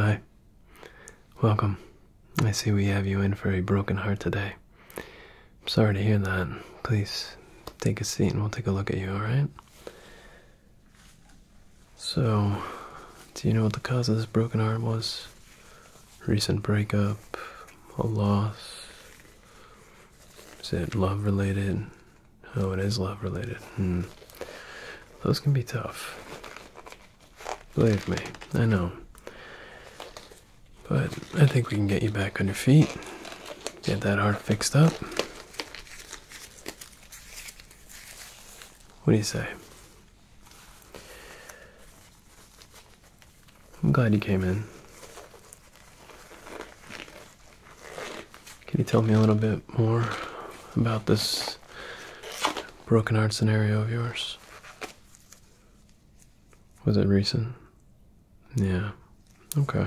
Hi. Welcome. I see we have you in for a broken heart today. I'm sorry to hear that. Please take a seat and we'll take a look at you, alright? So, do you know what the cause of this broken heart was? Recent breakup, a loss. Is it love related? Oh, it is love related. Hmm. Those can be tough. Believe me, I know. But I think we can get you back on your feet. Get that heart fixed up. What do you say? I'm glad you came in. Can you tell me a little bit more about this broken heart scenario of yours? Was it recent? Yeah. Okay.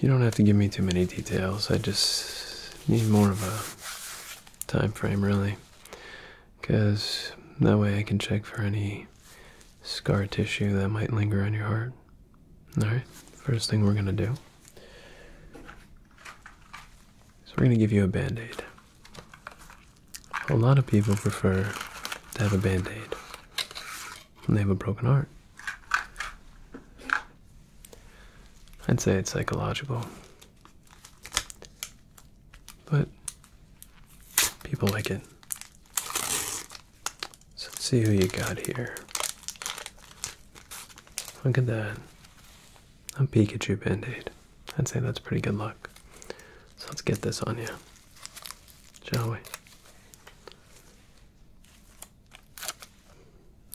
You don't have to give me too many details. I just need more of a time frame, really. Because that way I can check for any scar tissue that might linger on your heart. Alright, first thing we're going to do is we're going to give you a band aid. A lot of people prefer to have a band aid when they have a broken heart. I'd say it's psychological. But people like it. So let's see who you got here. Look at that. A Pikachu Band-Aid. I'd say that's pretty good luck. So let's get this on you. Shall we?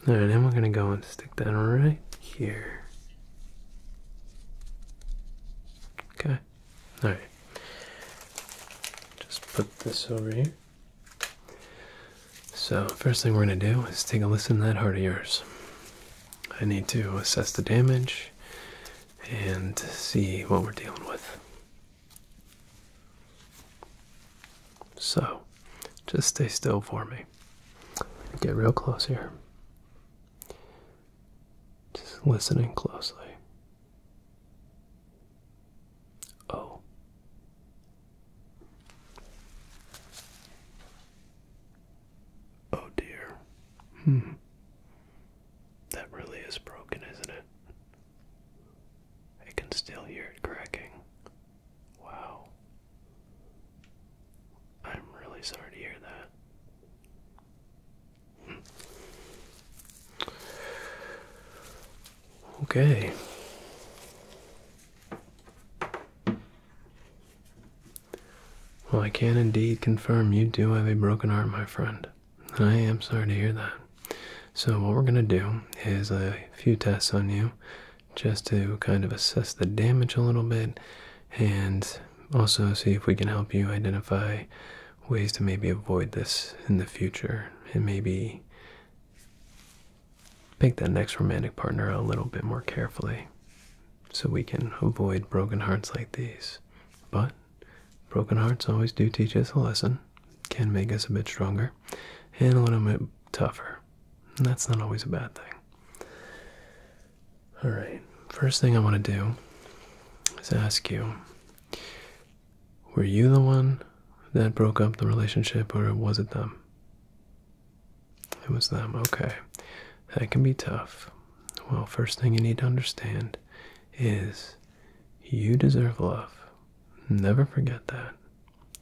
Alright, then we're gonna go and stick that right here. Okay. Alright. Just put this over here. So, first thing we're going to do is take a listen to that heart of yours. I need to assess the damage and see what we're dealing with. So, just stay still for me. Get real close here. Just listening closely. Oh. Oh dear. Hmm. That really is broken, isn't it? I can still hear it cracking. Wow. I'm really sorry to hear that. Hmm. Okay. Well, I can indeed confirm you do have a broken arm, my friend. And I am sorry to hear that. So, what we're going to do is a few tests on you just to kind of assess the damage a little bit and also see if we can help you identify ways to maybe avoid this in the future and maybe pick that next romantic partner a little bit more carefully so we can avoid broken hearts like these. But broken hearts always do teach us a lesson, can make us a bit stronger and a little bit tougher. And that's not always a bad thing. Alright, first thing I want to do is ask you were you the one that broke up the relationship, or was it them? It was them, okay. That can be tough. Well, first thing you need to understand is you deserve love. Never forget that.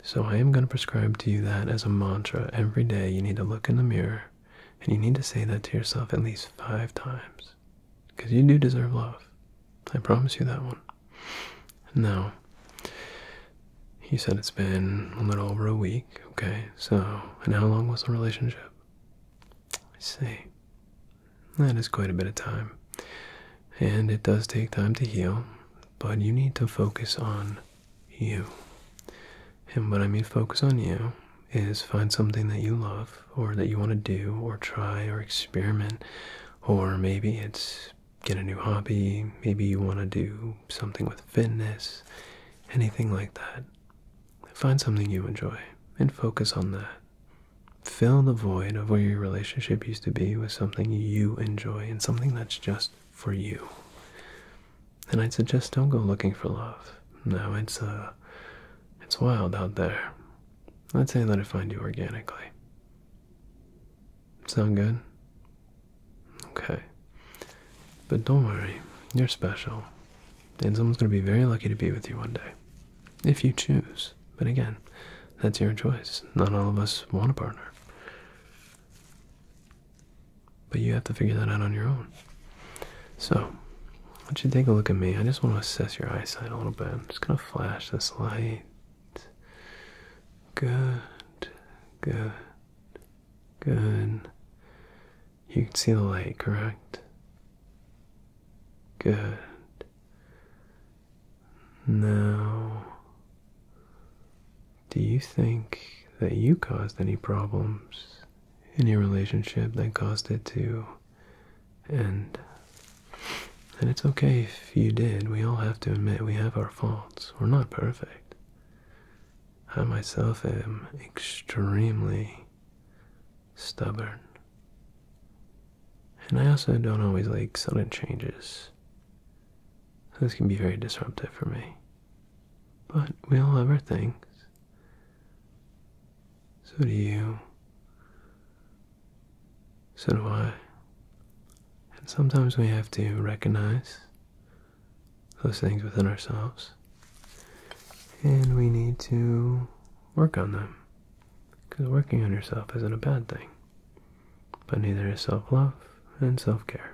So, I am going to prescribe to you that as a mantra every day. You need to look in the mirror and you need to say that to yourself at least five times. Because you do deserve love. I promise you that one. No, he said it's been a little over a week, okay? So, and how long was the relationship? I see. That is quite a bit of time. And it does take time to heal, but you need to focus on you. And what I mean focus on you is find something that you love or that you want to do or try or experiment or maybe it's get a new hobby maybe you want to do something with fitness anything like that find something you enjoy and focus on that fill the void of where your relationship used to be with something you enjoy and something that's just for you and i'd suggest don't go looking for love no it's uh it's wild out there I'd say I let it find you organically. Sound good? Okay. But don't worry, you're special. And someone's going to be very lucky to be with you one day. If you choose. But again, that's your choice. Not all of us want a partner. But you have to figure that out on your own. So, I want you to take a look at me. I just want to assess your eyesight a little bit. I'm just going to flash this light. Good, good, good. You can see the light, correct? Good. Now, do you think that you caused any problems in your relationship that caused it to end. And it's okay if you did. We all have to admit we have our faults. We're not perfect. I myself am extremely stubborn. And I also don't always like sudden changes. This can be very disruptive for me. But we all have our things. So do you. So do I. And sometimes we have to recognize those things within ourselves. And we need to work on them. Because working on yourself isn't a bad thing. But neither is self love and self care.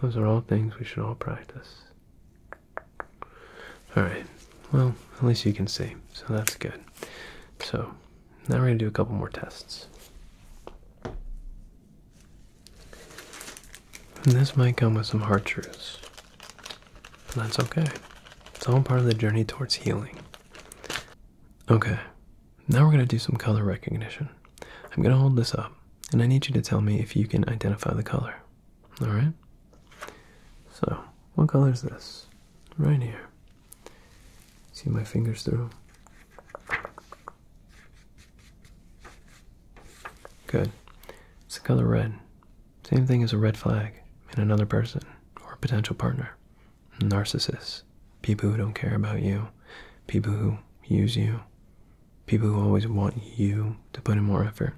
Those are all things we should all practice. Alright, well, at least you can see, so that's good. So, now we're going to do a couple more tests. And this might come with some hard truths, but that's okay. It's all part of the journey towards healing. Okay, now we're going to do some color recognition. I'm going to hold this up, and I need you to tell me if you can identify the color. All right. So, what color is this? Right here. See my fingers through? Good. It's the color red. Same thing as a red flag in another person or a potential partner. Narcissists. People who don't care about you. People who use you. People who always want you to put in more effort.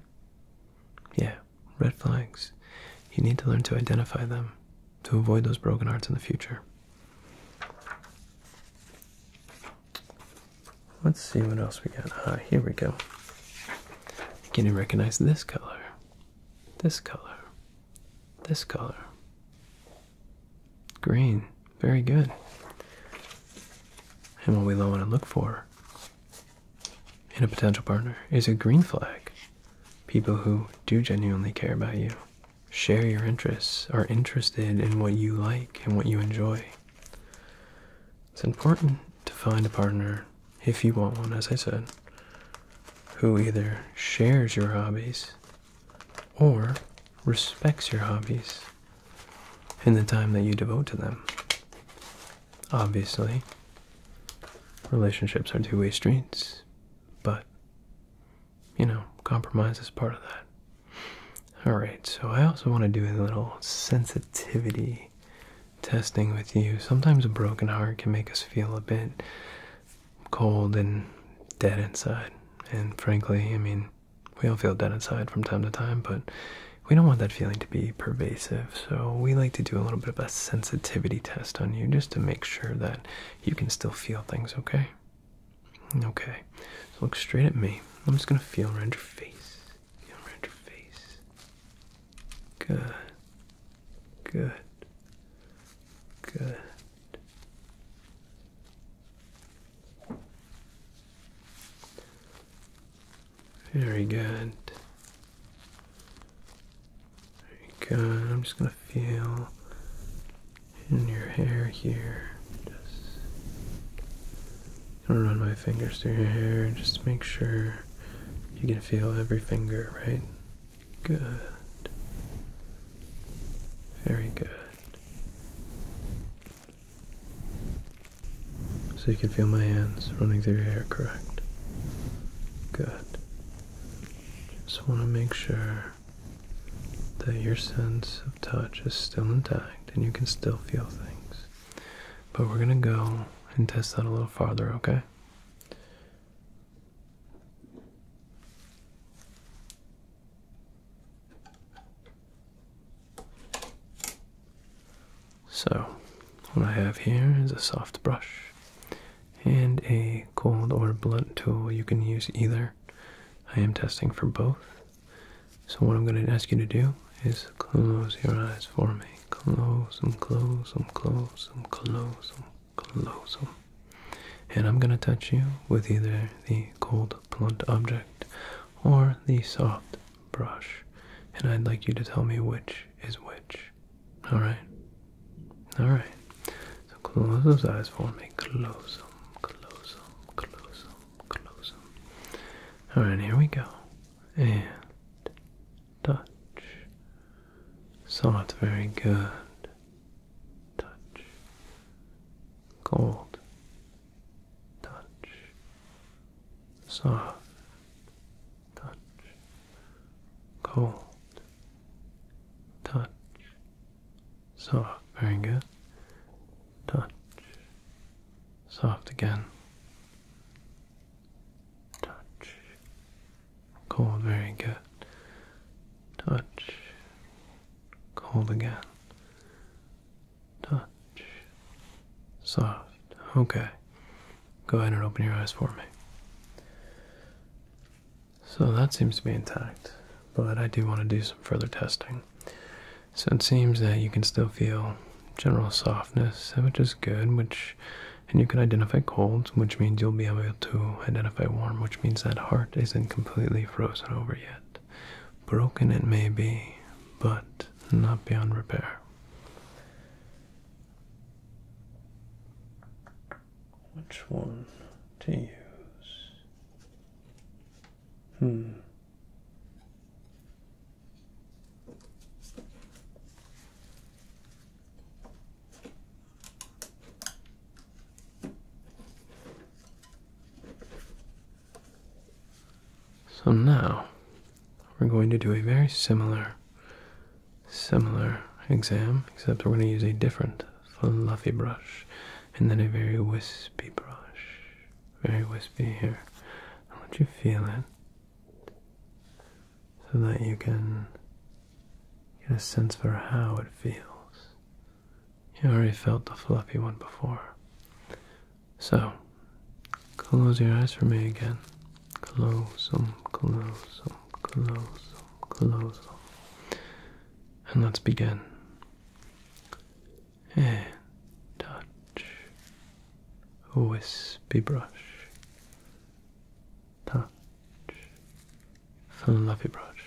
Yeah, red flags. You need to learn to identify them to avoid those broken hearts in the future. Let's see what else we got. Ah, here we go. Can you recognize this color? This color. This color. Green. Very good. And what we want to look for in a potential partner is a green flag. People who do genuinely care about you, share your interests, are interested in what you like and what you enjoy. It's important to find a partner, if you want one, as I said, who either shares your hobbies or respects your hobbies in the time that you devote to them. Obviously, relationships are two way streets, but you know, compromise is part of that. Alright, so I also want to do a little sensitivity testing with you. Sometimes a broken heart can make us feel a bit cold and dead inside. And frankly, I mean, we all feel that inside from time to time, but we don't want that feeling to be pervasive. So we like to do a little bit of a sensitivity test on you just to make sure that you can still feel things, okay? Okay. look straight at me. I'm just gonna feel around your face. Feel around your face. Good. Good. Good. Very good. Very good. I'm just going to feel in your hair here. Just run my fingers through your hair just make sure you can feel every finger, right? Good. Very good. So you can feel my hands running through your hair, correct? Good. Just want to make sure that your sense of touch is still intact and you can still feel things. But we're going to go and test that a little farther, okay? So, what I have here is a soft brush and a cold or blunt tool. You can use either. I am testing for both. So, what I'm going to ask you to do is close your eyes for me. Close them, close them, close them, close them, close them and I'm going to touch you with either the cold, blunt object or the soft brush, and I'd like you to tell me which is which. Alright? Alright. So close those eyes for me. Close them, close them, close them, close them. Alright, here we go. And touch. Soft, very good touch, cold, touch, soft, touch, cold, touch, soft, very good, touch, soft again, touch, cold, very good, touch, cold again. Touch. Soft. Okay. Go ahead and open your eyes for me. So that seems to be intact, but I do want to do some further testing. So it seems that you can still feel general softness, which is good, which and you can identify colds, which means you'll be able to identify warm, which means that heart isn't completely frozen over yet. Broken it may be, but not beyond repair. Which one to use? Hmm. So now we're going to do a very similar similar exam except we're going to use a different fluffy brush and then a very wispy brush. Very wispy here. I want you to feel it so that you can Get a sense for how it feels. You already felt the fluffy one before. So, close your eyes for me again. Close them, close them, close them, close them. And let's begin. And touch. Wispy brush. Touch fluffy brush,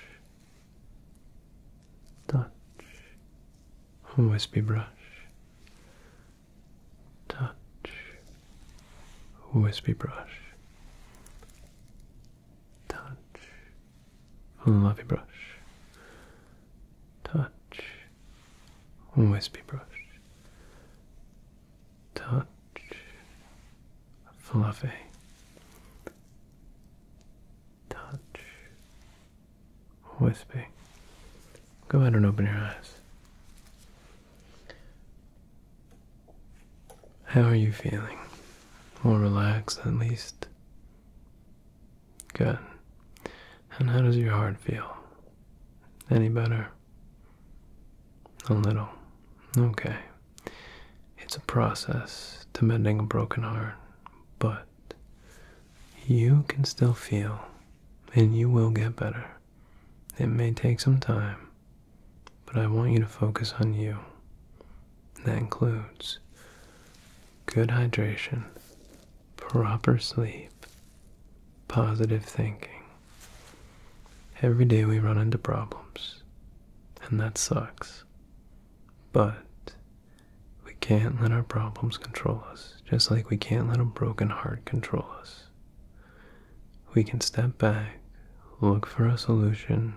touch, Always be brush, touch, Always be brush, touch, fluffy brush, touch, Always be brush touch fluffy touch wispy go ahead and open your eyes how are you feeling more relaxed at least good and how does your heart feel any better a little. Okay. It's a process to mending a broken heart, but you can still feel and you will get better. It may take some time, but I want you to focus on you. That includes good hydration, proper sleep, positive thinking, Every day we run into problems, and that sucks. But we can't let our problems control us, just like we can't let a broken heart control us. We can step back, look for a solution,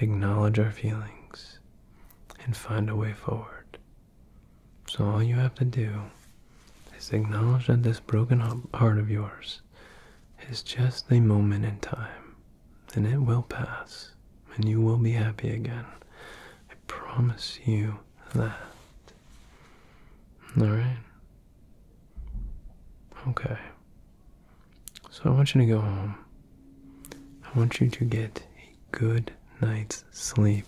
acknowledge our feelings, and find a way forward. So all you have to do is acknowledge that this broken heart of yours is just a moment in time, and it will pass, and you will be happy again. I promise you that. Alright? Okay. So I want you to go home. I want you to get a good night's sleep.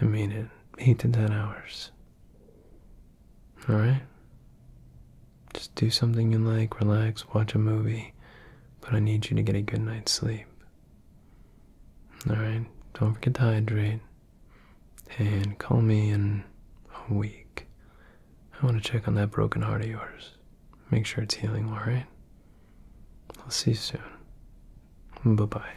I mean it. Eight to ten hours. Alright? Just do something you like, relax, watch a movie, but I need you to get a good night's sleep. Alright? Don't forget to hydrate. And call me in a week. I want to check on that broken heart of yours. Make sure it's healing, alright? I'll see you soon. Bye bye.